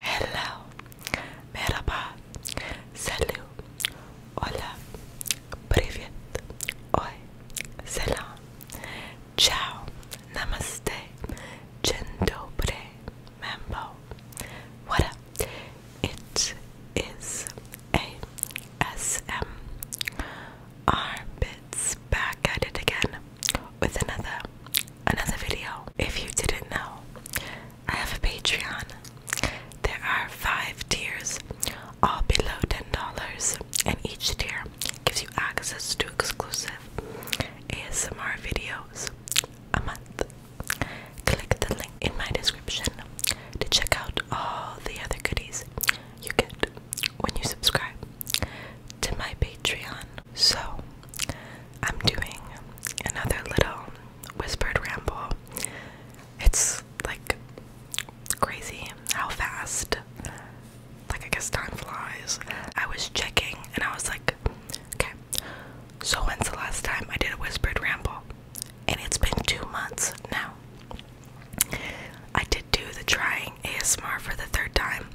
Hello, merhaba, salut, hola, привет, oi, ciao, namaste, gendobre, mambo, what up? It is ASM Armpits back at it again with another another video. If you didn't know, I have a Patreon. There are five tiers, all below $10, and each tier gives you access to exclusive ASMR videos a month. Click the link in my description to check out all the other goodies you get when you subscribe to my Patreon. So, I'm doing another little whispered ramble. It's like crazy how fast, like, I guess time flies. I was checking and I was like, okay, so when's the last time I did a whispered ramble? And it's been two months now. I did do the trying ASMR for the third time,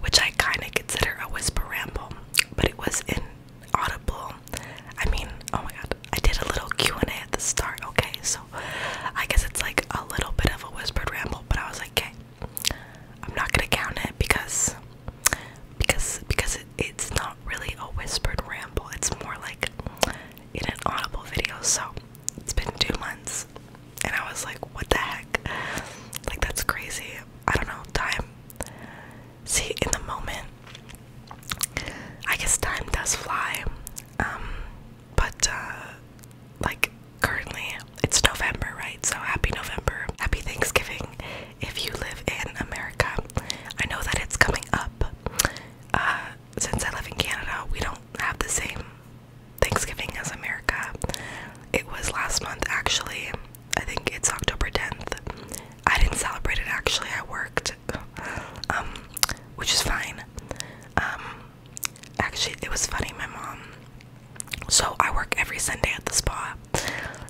which I kind of consider a whispered ramble but it was inaudible. I mean, oh my god, I did a little Q&A at the start, okay, so I guess it's like a little bit of a whispered ramble, but I was like, okay, I'm not gonna count it because, because, because it, it's not really a whispered ramble, it's more like in an audible video, so it's been two months, and I was like, what the heck, like that's crazy, I don't know, time See, in the moment, I guess time does fly. Um, but uh, like currently, it's November, right? So happy November, happy Thanksgiving if you live in America. I know that it's coming up. Uh, since I live in Canada, we don't have the same Thanksgiving as America. It was last month, actually. I think it's October 10th. I didn't celebrate it actually, I worked, um, which is fine. Um, actually, it was funny, my mom. So I work every Sunday at the spa.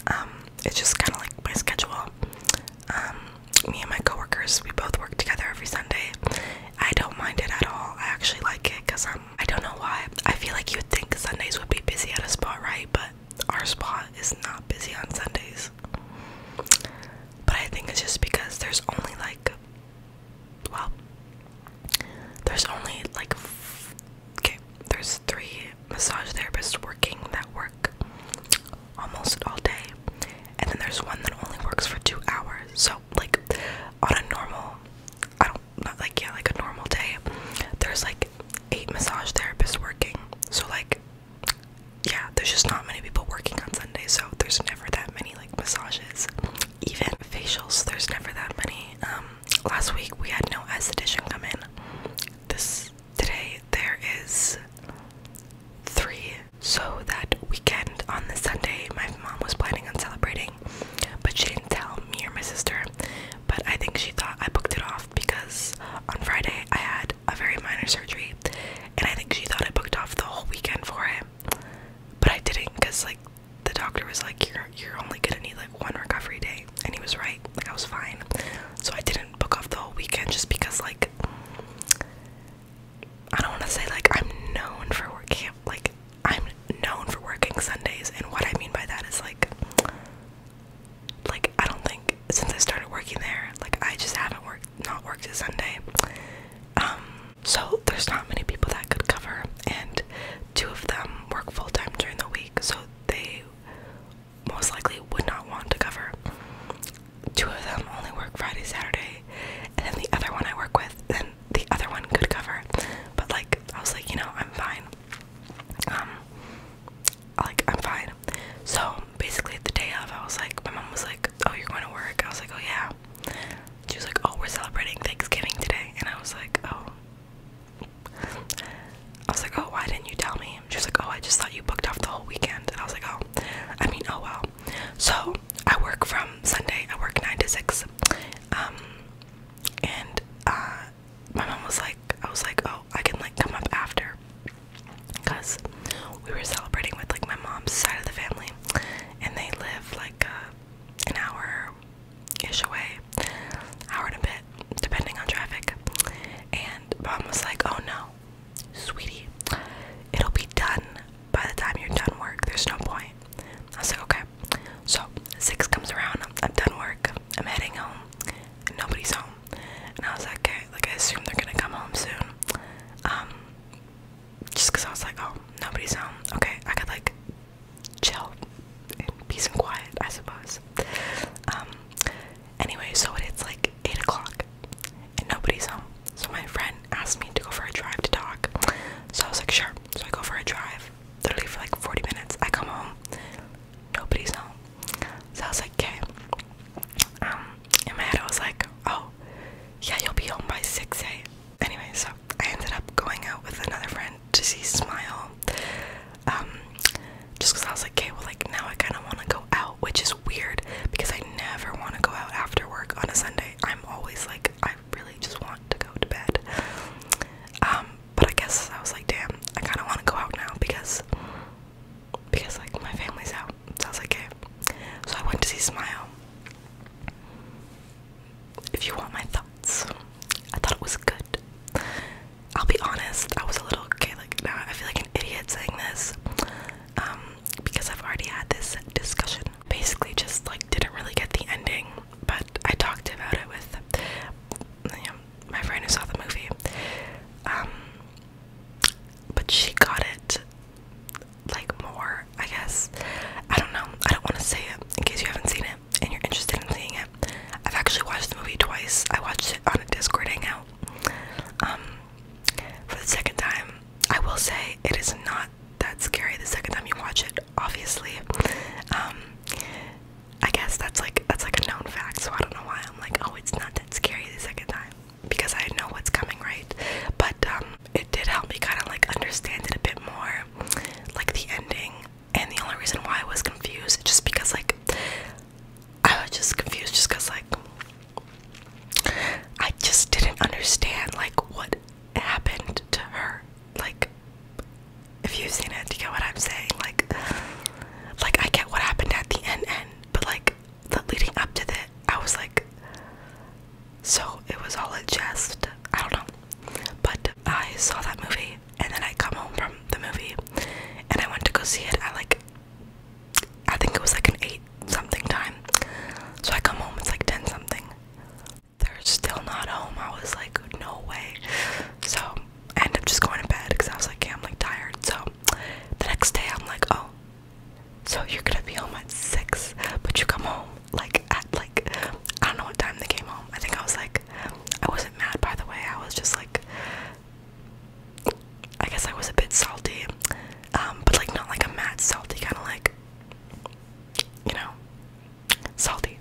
Um, it's just kind of like my schedule. me and my coworkers, we both work together every Sunday. I don't mind it at all. I actually like it because I'm. I don't know why. I feel like you'd think Sundays would be busy at a spa, right? But our spa is not busy on Sundays. But I think it's just because there's only like, well, there's only like, okay, there's three massage therapists working that work almost all day. And then there's one that only works for two hours. So, like, on a normal I don't like yeah, like a normal day. There's like eight massage therapists working. So like yeah, there's just not many people working on Sunday, so there's never that many like massages. Even facials, there's never that many. Um, last week we had no esthetician come in. This today there is three. So that weekend on the Sunday my mom was planning on celebrating but she didn't tell me or my sister. But I think she thought I booked it off because on Friday I had a very minor surgery, and I think she thought I booked off the whole weekend for it. But I didn't because like the doctor was like, "You're you're only gonna need like one recovery day," and he was right. Like I was fine, so I didn't book off the whole weekend just because like. I don't want to say like I'm known for working like I'm known for working Sundays, and what I mean by that is like, like I don't think since I started working there, like I just haven't worked, not worked a Sunday. Um, so there's not many people that could cover, and two of them work full time during the week, so they most likely would not want to cover. Two of them only work Friday, Saturday, and then the other one I work with, then the other one could cover. But like I was like, you know, I'm fine. Um like I'm fine. So basically the day of I was like my mom was like, Oh, you're going to work? I was like, Oh yeah. She was like, Oh, we're celebrating Thanksgiving today and I was like, Oh I was like, Oh, why didn't you tell me? She was like, Oh, I just thought you booked off the whole weekend and I was like, Oh I mean, oh well. So I work from Sunday, I work nine to six. Um and uh, my mom was like, I was like, oh, I can like come up after, cause we were celebrating with like my mom's side of the family, and they live like uh, an hour ish away, hour and a bit, depending on traffic. And mom was like, oh no, sweetie, it'll be done by the time you're done work. There's no point. I was like, okay so six comes around. I'm, done work. I'm heading home, and nobody's home. And I was like, okay, like I assume they're gonna come home soon. Um, just cause I was like, oh, nobody's home. Okay, I could like chill in peace and quiet, I suppose. Um, anyway, so it's like eight o'clock, and nobody's home. So my friend asked me to go for a drive to talk. So I was like, sure. So I go for a drive literally for like 40 minutes. I come home, nobody's home. So I was like, okay. Um, in my head I was like, oh, yeah, you'll be home by 6 a.m. Anyway, so I ended up going out with another friend to see Smile. Um, just because I was like, okay, well, like now I kind of want to go out, which is weird because I never want to go out after work on a Sunday. I'm always like, I I really just want to go to bed. Um, but I guess I was like, damn, I kind of want to go out now because because like my family's out. So I was like, okay. So I went to see Smile. If you want my thoughts, I thought it was good. I'll be honest, I was a little okay. Like now, I feel like an idiot saying this um, because I've already had this discussion. Basically, just like didn't really get the ending but I talked about it with my friend who saw the movie. Um, but she got it like more, I guess. I don't know. I don't want to say it in case you haven't seen it and you're interested in seeing it. I've actually watched the movie twice. I watched it on a Discord hangout um, for the second time. I will say it is not that's scary the second time you watch it, obviously. Um, I guess that's like that's like a known fact, so I don't know why I'm like, oh, it's not that scary the second time because I know what's coming, right? But um, it did help me kind of like understand it a bit more, like the ending. And the only reason why I was confused, just because like I was just confused, just because like I just didn't understand like what happened to her like if you've seen it, do you get what I'm saying? Like like I get what happened at the end end, but like the leading up to that I was like so it was all a jest. I don't know. But I saw that movie and then I come home from the movie and I went to go see it at like I think it was like an eight something time. So I come home, it's like ten something they're still not home. I was like, no way. So I ended up just going to bed because I was like, I'm like tired. So the next day I'm like, oh, so you're gonna be home at six, but you come home like at like I don't know what time they came home. I think I was like I wasn't mad by the way, I was just like I guess I was a bit salty. Um, but like not like a mad salty, kinda like you know, salty.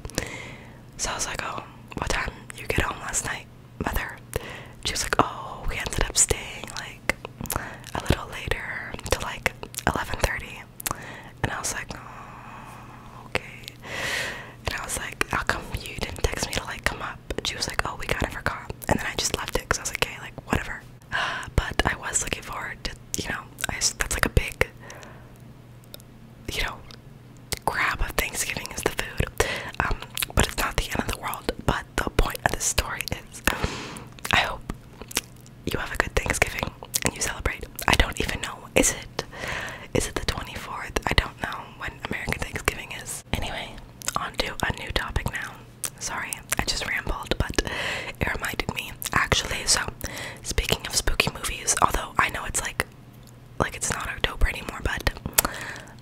So I was like, oh, what time you get home last night, mother? She was like, oh, we ended up staying like a little later to like 11.30. And I was like, oh, okay. And I was like, how come you didn't text me to like come up? she was like, oh, we kind of forgot. And then I just left it because I was like, okay, like whatever. but I was looking forward to, you know, I, that's like a big, you know, grab of Thanksgiving is the food. Um, but it's not the end of the world. But the point of the story is um, I hope you have a good Thanksgiving and you celebrate. I don't even know. Is it? Is it the 24th? I don't know when American Thanksgiving is. Anyway, on to a new topic now. Sorry, I just rambled, but it reminded me actually. So, speaking of spooky movies, although I know it's like, like it's not October anymore, but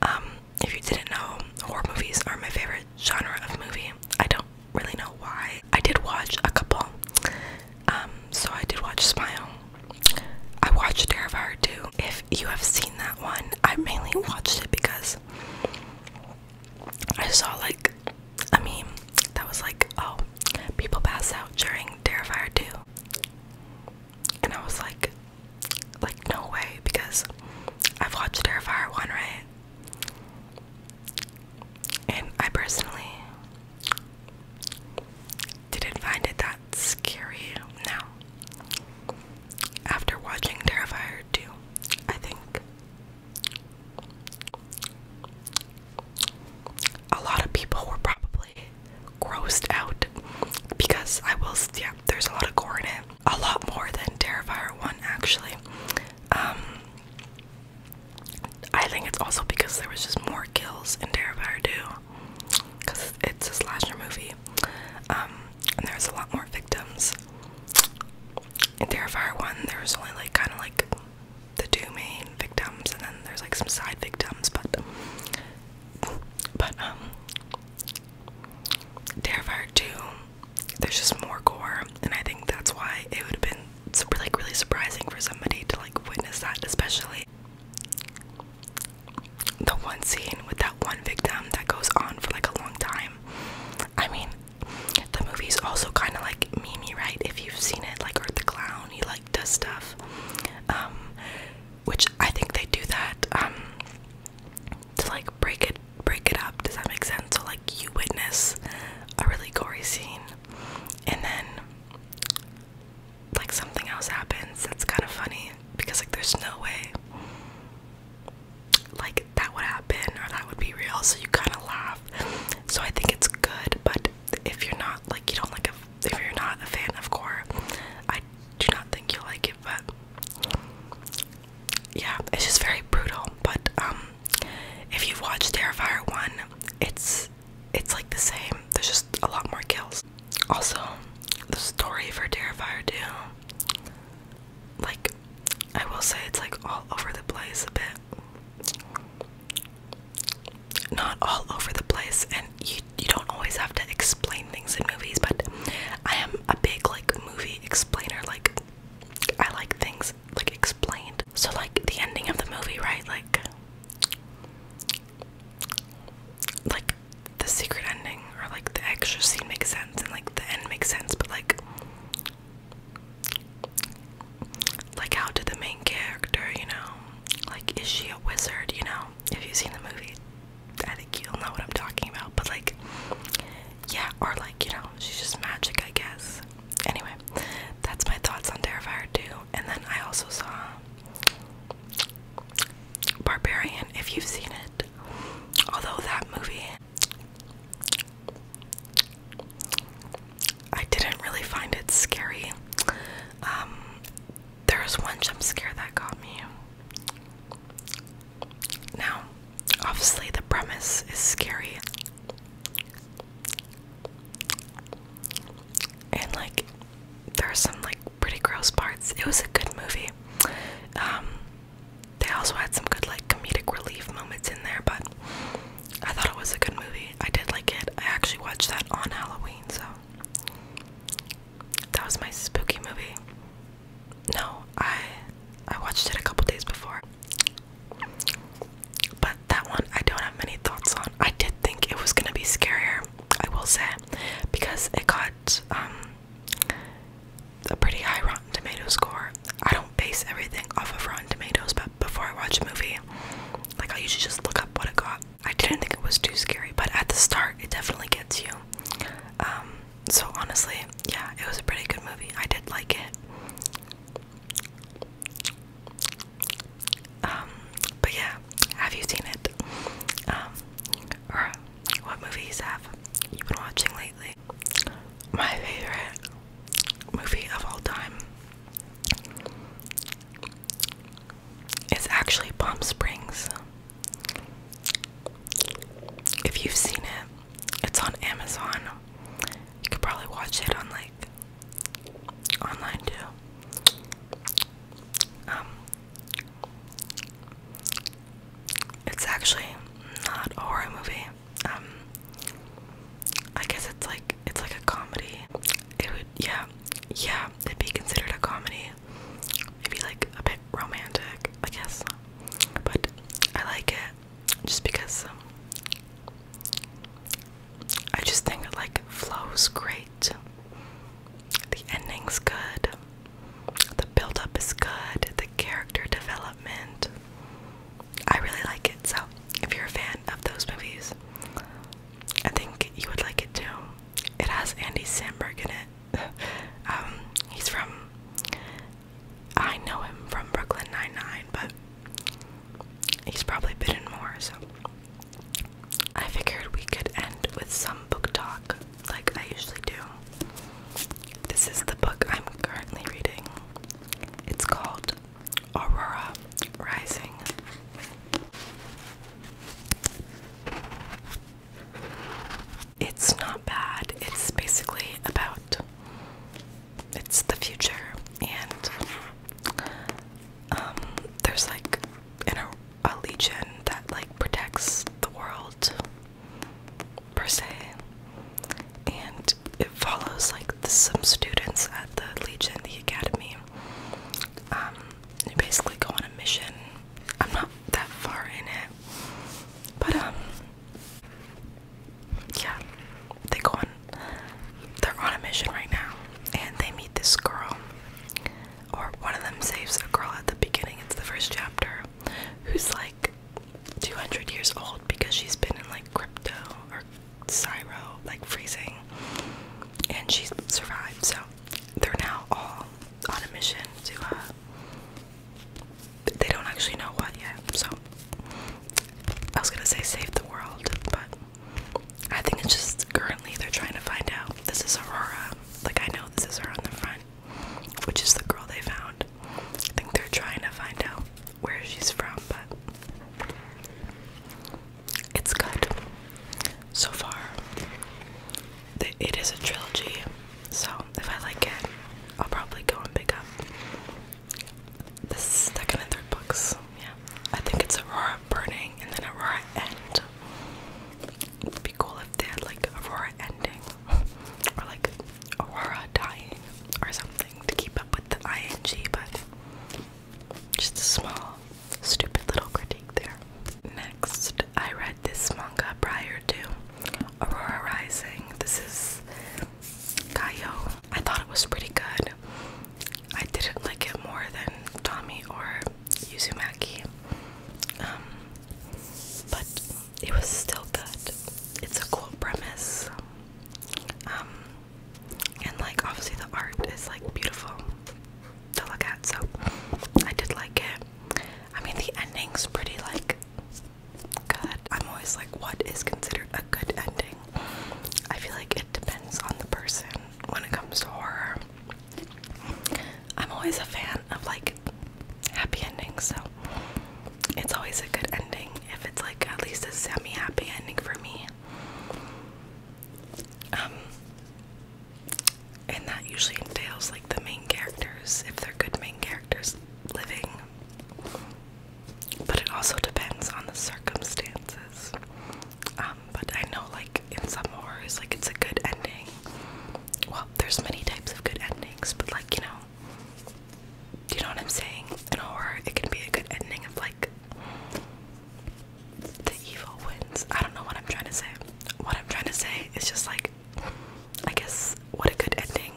um, if you didn't know, horror movies are my favorite genre of movie. I don't really know why. I did watch a couple. Um, so I did watch Smile. I watched Terrifier too. If you have seen that one, I mainly watched it because I saw like I mean that was like oh people pass out during Terrifier 2 and I was like like no way because I've watched Terrifier 1 right and I personally didn't find it that scary now after watching Terrifier 2 I think a lot of people were probably grossed out because I will, yeah, there's a lot of gore in it. A lot more than Terrifier 1, actually. Um, I think it's also because there was just more kills in Terrifier 2 because it's a slasher movie. Um, and there's a lot more victims. In Terrifier 1, there was only like kind of like the two main victims, and then there's like some side victims, but but um, Terrifier two, there's just more gore, and I think that's why it would have been like really surprising for somebody to like witness that, especially the one scene with that one victim that goes on for like a long time. I mean, the movie's also kind of like Mimi, right? If you've seen it, like Art the Clown, he like does stuff, um, which I think they do that um, to like break it, break it up. Does that make sense? So like you witness a really gory scene, and then like something else happens that's kind of funny because like there's no way like that would happen or that would be real, so you kind of laugh. So I think it's good, but if you're not like you don't like if you're not a fan of gore, I do not think you'll like it. But yeah, it's just very brutal. But um, if you've watched Terrifier one, it's it's like the same. There's just a lot more kills. Also, the story for Terrifier two, like I will say it's like all over the place a bit. Not all over the place, and you you don't always have to explain things in movies, but I am a big like movie explainer. Like I like things like explained. So like the ending of the movie, right? Like like the secret ending or like the extra scene makes sense and like the end makes sense but like like, how did the main character, you know, like, is she a wizard, you know? If you've seen the movie, I think you'll know what I'm talking about. But, like, yeah, or like, you know, she's just magic, I guess. Anyway, that's my thoughts on Terrifier 2. And then I also saw Barbarian, if you've seen it. Although that movie I didn't really find it scary. Um, there was one jump scare that got me. Now, obviously, the premise is scary. And, like, there are some, like, pretty gross parts. It was a good movie. Um, they also had some good like comedic relief moments in there, but I thought it was a good movie. I did like it. I actually watched that on Halloween, so that was my spooky movie. No, I I watched it a couple days before. But that one I don't have many thoughts on. I did think it was gonna be scarier, I will say, because it got um, a pretty high Rotten Tomatoes score. I don't base everything off of Rotten Tomatoes, but before I watch a movie, like I usually just look up what it got. I didn't think it was too scary, but at the start, it definitely gets you. Um, so honestly, yeah, it was a pretty good movie. I did like it. Um, but yeah, have you seen it? Um, what movies have you been watching lately? My favorite movie of all time is actually Palm Springs. If you've seen it, it's on Amazon. You could probably watch it on like online too. Um, it's actually not a horror movie. Um, I guess it's like it's like a comedy. It would yeah, yeah, it'd be considered a comedy. Maybe like a bit romantic, I guess. But I like it just because um, I just think it like flows great. The ending's good. The build up is good, the character development. I really like it. So, if you're a fan of those movies, I think you would like it too. It has Andy Samberg in it. Um, he's from I know him from Brooklyn Nine-Nine, but he's probably been in more, so I figured we could end with some book talk like I usually do. This is the book I'm currently reading. It's called Aurora Rising. It's not bad. It's basically about it's the future and um there's like an, a legion that like protects the world per se. And it follows like some students at the Legion, the Academy. Um, you basically go on a mission. I'm not that far in it, but um, yeah, they go on. They're on a mission right now, and they meet this girl, or one of them saves a girl at the beginning. It's the first chapter, who's like 200 years old because she's been in like crypto or cyro, like freezing, and she survived. So they're now all on a mission to, uh, they don't actually know what yet. So I was gonna say save the world, but I think it's just currently they're trying to find out. This is Aurora, like I know this is her on the front which is the girl they found. I think they're trying to find out where she's from, but it's good so far. It is a trilogy, so if I like it, I'll probably go and pick up the second and third books. Yeah, I think it's Aurora Burning and then Aurora End. be cool if they had like Aurora Ending or like Aurora dying or something to keep up with the ing, but just a small, stupid little critique there. Next, I read this manga prior to Aurora Rising. This is Kyo. I thought it was pretty good. I didn't like it more than Tommy or Yuzumaki. Um, but it was still good. It's a cool premise. Um, and like obviously the art is like beautiful to look at, so I did like it. I mean the ending's pretty like good. I'm always like what is considered a good ending? I feel like it depends on the person when it comes to horror. I'm always a fan of like happy ending, so it's always a good ending if it's like at least a semi happy ending for me. Um, and that usually entails like the main characters, if they're good main characters living. But it also depends on the circumstances. Um, but I know like in some horrors like it's a good ending well, there's many types of good endings, but like, you know, you know what I'm saying? In horror, it can be a good ending of like the evil wins. I don't know what I'm trying to say. What I'm trying to say is just like, I guess, what a good ending.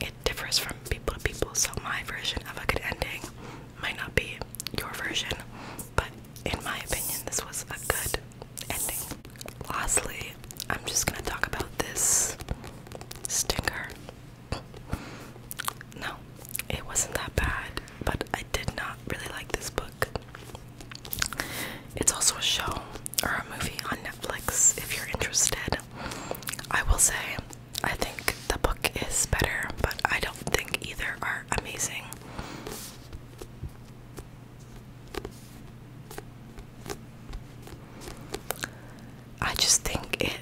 It differs from people to people, so my version of a good ending might not be your version, but in my opinion, this was a good ending. Lastly, I'm just gonna talk about this stinker. No, it wasn't that bad, but I did not really like this book. It's also a show or a movie on Netflix if you're interested. I will say, I think the book is better, but I don't think either are amazing. I just think it.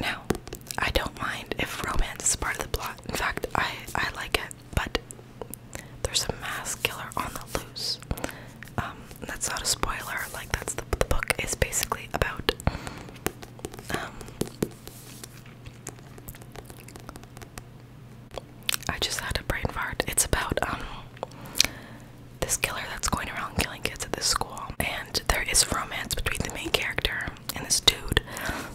Now, I don't mind if romance is part of the plot. In fact, I I like it. But there's a mass killer on the loose. Um, that's not a spoiler. Like that's the the book is basically about. Um, I just had a brain fart. It's about um, this killer that's going around killing kids at this school, and there is romance between the main character and this dude,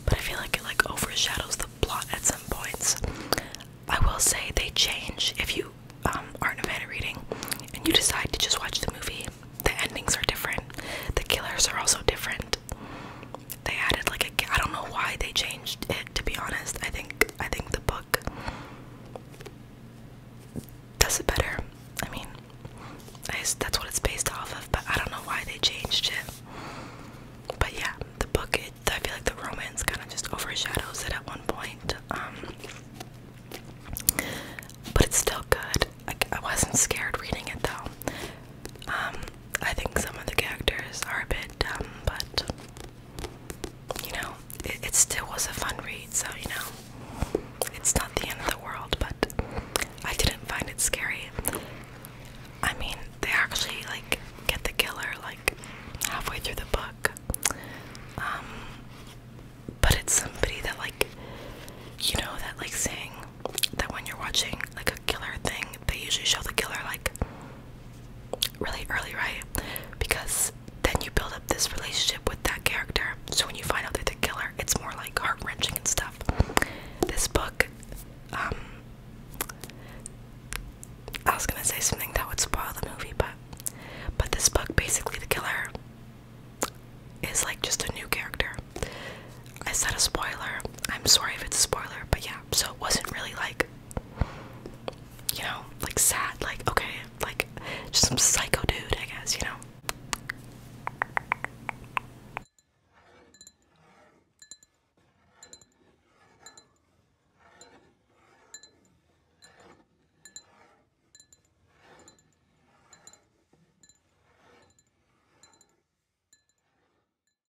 but I feel like it like overshadows the plot at some points. I will say they change if you um, aren't a fan of reading and you decide to just watch the movie. The endings are different. The killers are also different they added like a I don't know why they changed it to be honest. I think I think the book does it better. I mean, that's what it's based off of, but I don't know why they changed it. But yeah, the book it, I feel like the romance kind of just overshadows it at one point. Um, but it's still good. I wasn't scared reading it though. Um, I think some of the characters are a bit dumb, but you know, it, it still was a fun read, so you know, it's not the end of the world, but I didn't find it scary. I mean, they actually like get the killer like halfway through the book. Um but it's somebody that like you know that like saying that when you're watching like a killer thing, they usually show the killer like really early, right? Because then you build up this relationship with that character. So when you find out they're the killer, it's more like heart wrenching and stuff. This book, um, I was gonna say something that would spoil the movie, but but this book basically the killer is like just a new character. I said a spoiler. I'm sorry if it's a spoiler, but yeah. So it wasn't really like you know, like sad, like okay, like just some psycho dude, I guess, you know.